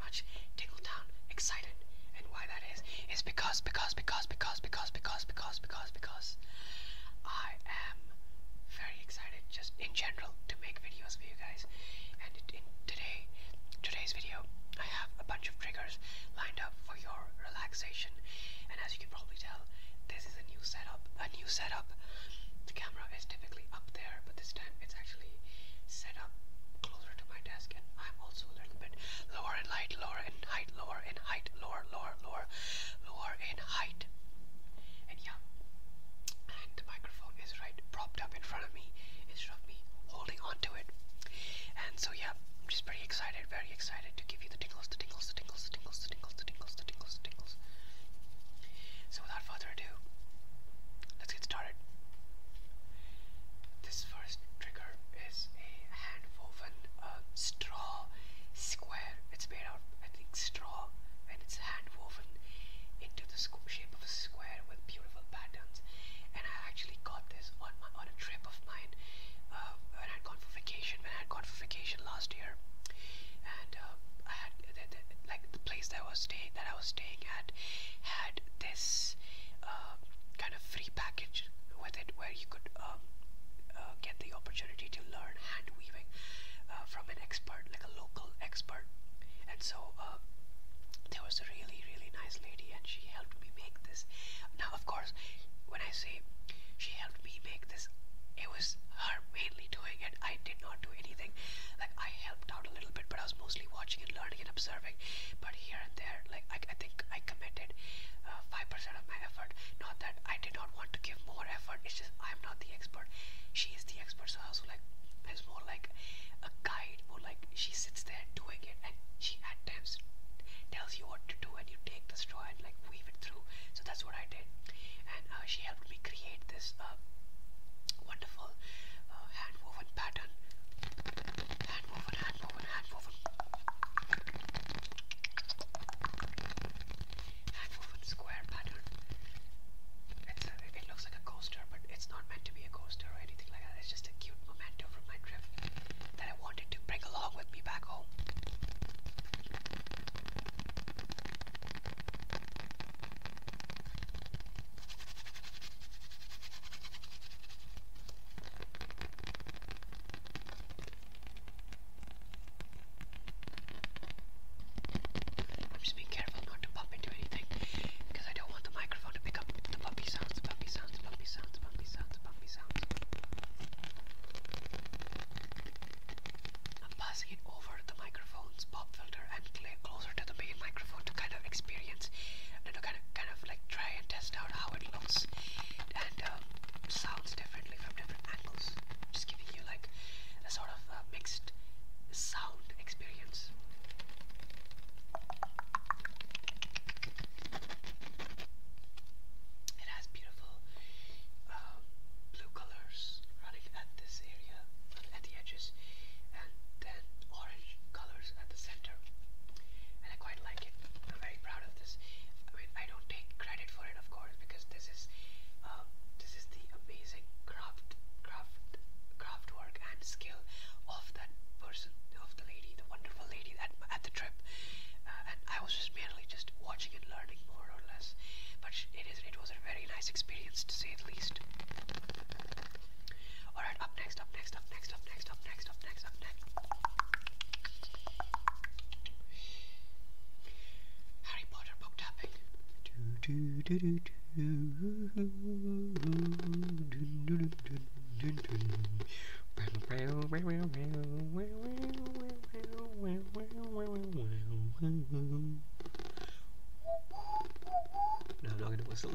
very much tickled down, excited. And why that is, is because, because, because, because, because, because, because, because, because I am very excited just in general to make videos for you guys. And in today, today's video, I have a bunch of triggers lined up for your relaxation. And as you can probably tell, this is a new setup, a new setup. The camera is typically up there, but this time it's actually set up closer to my desk and I'm also a bit lower in height, lower in height, lower in height, lower, lower, lower, lower in height. And yeah, and the microphone is right propped up in front of me instead of me holding onto it. And so yeah, I'm just pretty excited, very excited to give you the tingles, the tingles, the tingles, the tingles, the tingles, the tingles, the tingles, the tingles. So without further ado, let's get started. This first trigger is a hand woven uh, straw square. It's made out, I think, straw and it's hand woven into the shape of a square with beautiful patterns. And I actually got this on on a trip of mine uh, when I'd gone for vacation. When I'd gone for vacation last year, and uh, I had the, like the place that I was staying that I was staying at had this kind of free package with it where you could um, uh, get the opportunity to learn hand weaving uh, from an expert, like a local expert. And so uh, there was a really, really nice lady, and she helped me make this. Now, of course, when I say she helped me make this, it was her mainly doing it. I did not do anything. Like I helped out a little bit, but I was mostly watching and learning and observing but here and there, like I, I think I committed uh, five percent of my effort. Not that I did not want to give more effort. It's just I'm not the expert. She is the expert, so I was like, it's more like a guide. More like she sits there doing it, and she at times tells you what to do, and you take the straw and like weave it through. So that's what I did, and uh, she helped me create this uh, wonderful uh, hand woven pattern. Handwoven, handwoven, handwoven. Handwoven square pattern. It's it looks like a coaster, but it's not meant to be a coaster or anything like that. It's just a cute memento from my trip that I wanted to bring along with me back home. Just be careful not to pop into anything because I don't want the microphone to pick up the puppy sounds, puppy sounds, puppy sounds, puppy sounds, puppy sounds. I'm passing it over the microphone's pop filter and closer to the main microphone to kind of experience experience you kind of kind of like try and test out how it looks and um, sounds differently from different angles just giving you like a sort of uh, mixed sound experience it has beautiful um, blue colors running at this area at the edges and then orange colors at the center and I quite like it. I'm very proud of this. I mean, I don't take credit for it, of course, because this is um, this is the amazing craft, craft, craft and skill of that person, of the lady, the wonderful lady at at the trip. Uh, and I was just merely just watching and learning more or less. But it is it was a very nice experience to say the least. Alright, up next, up next, up next, up next, up next, up next, up next. Harry Potter book tapping. No, I'm not gonna whistle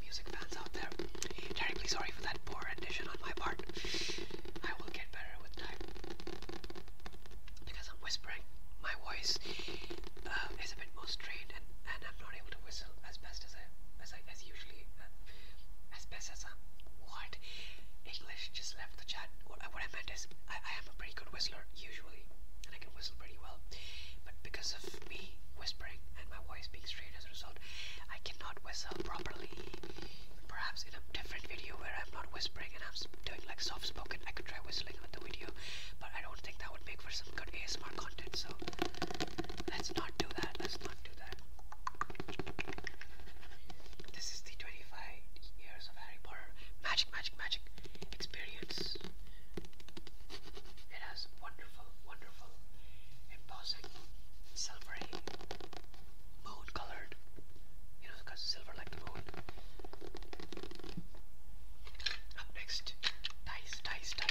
music fans out there. Terribly sorry for that poor rendition on my part. I will get better with time. Because I'm whispering, my voice uh, is a bit more strained and, and I'm not able to whistle as best as I, as, I, as usually, uh, as best as i what? English just left the chat. what I meant is, I, I am a pretty good whistler, usually, and I can whistle pretty well. But because of me whispering and my voice being strained as a result, I cannot whistle properly. Perhaps in a different video where I'm not whispering and I'm doing like soft spoken, I could try whistling on the video, but I don't think that would make for some good ASMR content. So let's not do that. Let's not do that. This is the 25 years of Harry Potter magic, magic, magic experience. It has wonderful, wonderful embossing, silvery, moon colored. You know, because silver like the moon. Up next, dice, dice, dice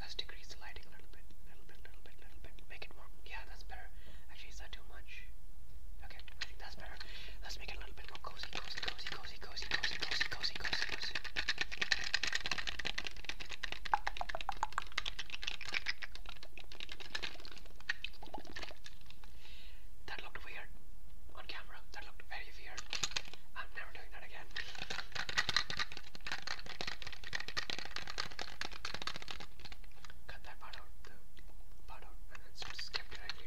Let's decrease the lighting a little bit, little bit, little bit, little bit. Make it more. Yeah, that's better. Actually, is that too much? Okay, I think that's better. Let's make it a little bit more cozy, cozy, cozy, cozy, cozy, cozy, cozy, cozy, cozy, cozy. That looked weird on camera. That looked very weird. I'm never doing that again. Cut that part out, part out, and then skip directly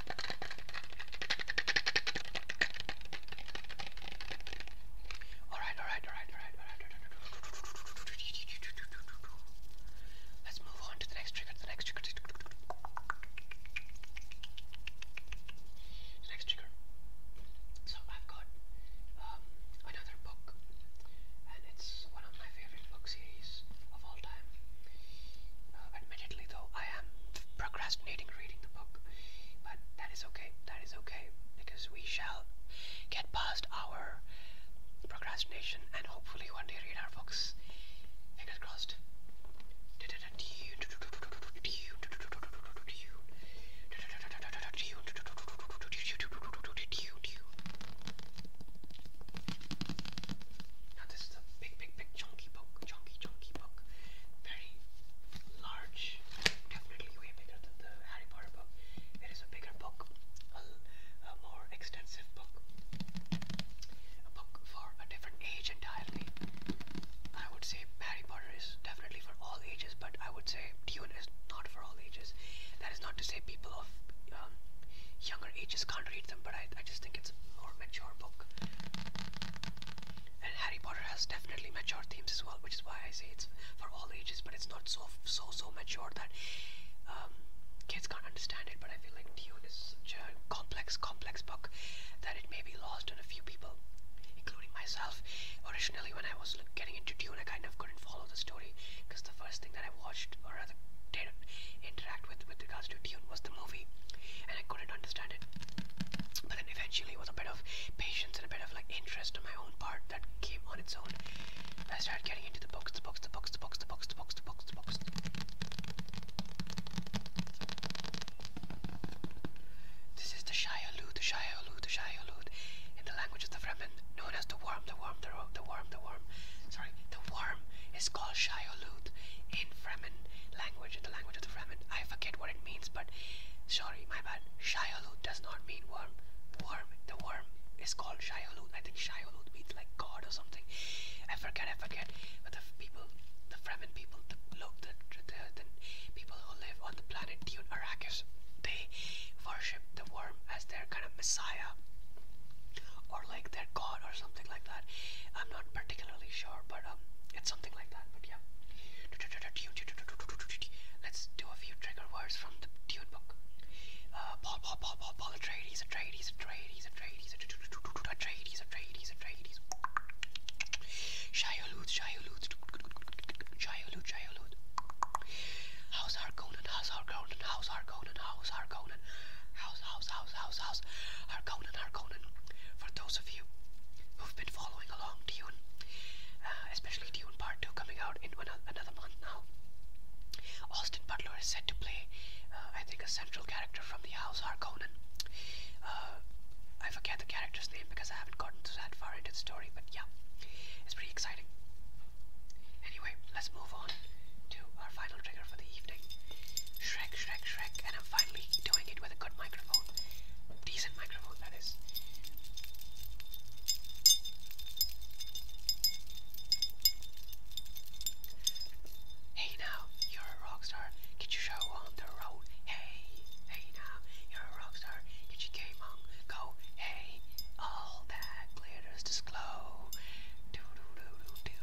Alright, alright, alright, alright, alright. Let's move on to the next trigger, the next trigger. The next trigger. So I've got um, another book, and it's one of my favorite book series of all time. Uh, admittedly, though, I am procrastinating reading the book, but that is okay. That is okay because we shall get past our procrastination and hopefully one day read our books. Fingers crossed. This is a big, big, big chunky book, chunky, chunky book. Very large, definitely way bigger than the Harry Potter book. It is a bigger book, a, more extensive book, a book for a different age entirely. I would say Harry Potter is definitely for all ages, but I would say Dune is not for all ages. That is not to say people of um, younger ages can't read them, but I just think it's a more mature book. And Harry Potter has definitely mature themes as well, which is why I say it's for all ages, but it's not so so so mature that um, kids can't understand it. But I feel like Dune is such a complex, complex book that it may be lost on a few people, including myself. Originally, when I was getting into Dune, I kind of couldn't follow the story because the first thing that I watched, or rather did interact with, with regards to was the movie, and I couldn't understand it. But then eventually, it was a bit of patience and a bit of like interest on my own part that came on its own. I started getting into the books, the books, the books, the books, the books, the books, the books, This is the Shayalud, the Shayalud, the Shayalud, in the language of the Fremen, known as the worm, the worm, the worm, the worm, the worm. Sorry, the worm is called Shayalud in Fremen language language, sorry, my bad. Shialut does not mean worm. Worm, the worm is called Shialut. I think Shialut means like God or something. I forget, I forget. the people, the people, the people who live on the planet Dune Arrakis, they worship the worm as their kind of messiah or like their god or something like that. I'm not not particularly sure, but um, it's something like that. But yeah, let's do a few trigger words from the tune book. Uh, Paul, Paul, Paul, Paul, Paul, Atreides, Atreides, Atreides, Atreides, Atreides, Atreides, Atreides. Shiolud, Shiolud, Shiolud, Shiolud. How's our Conan? How's our Conan? How's our Conan? How's our Conan? How's, how's, house, house, house, Harkonnen, Harkonnen. For those of you who've been following along Dune, uh, especially Dune Part 2 coming out in another month now, Austin Butler is set to play, uh, I think, a central character from the house Harkonnen. Uh, I forget the character's name because I haven't gotten to that far into the story, but yeah, it's pretty exciting. Anyway, let's move on to our final trigger for the evening, Shrek, Shrek, Shrek, and I'm finally doing it with a good microphone. Decent microphone, that is. Hey now, you're a rock star. Get your show on the road. Hey, hey now, you're a rock star. Get your game on. Go, hey, all that glitters disclose. Do do do do do.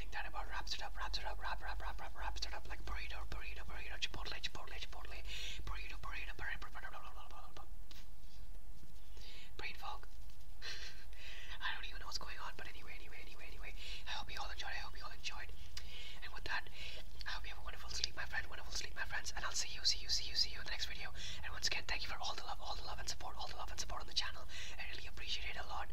brain fog. I don't even know what's going on, but anyway, anyway, anyway, anyway. I hope you all enjoyed. I hope you all enjoyed. And with that, I hope you have a wonderful sleep, my friend. Wonderful sleep, my friends. And I'll see you, see you, see you, see you in the next video. And once again, thank you for all the love, all the love and support, all the love and support on the channel. I really appreciate it a lot.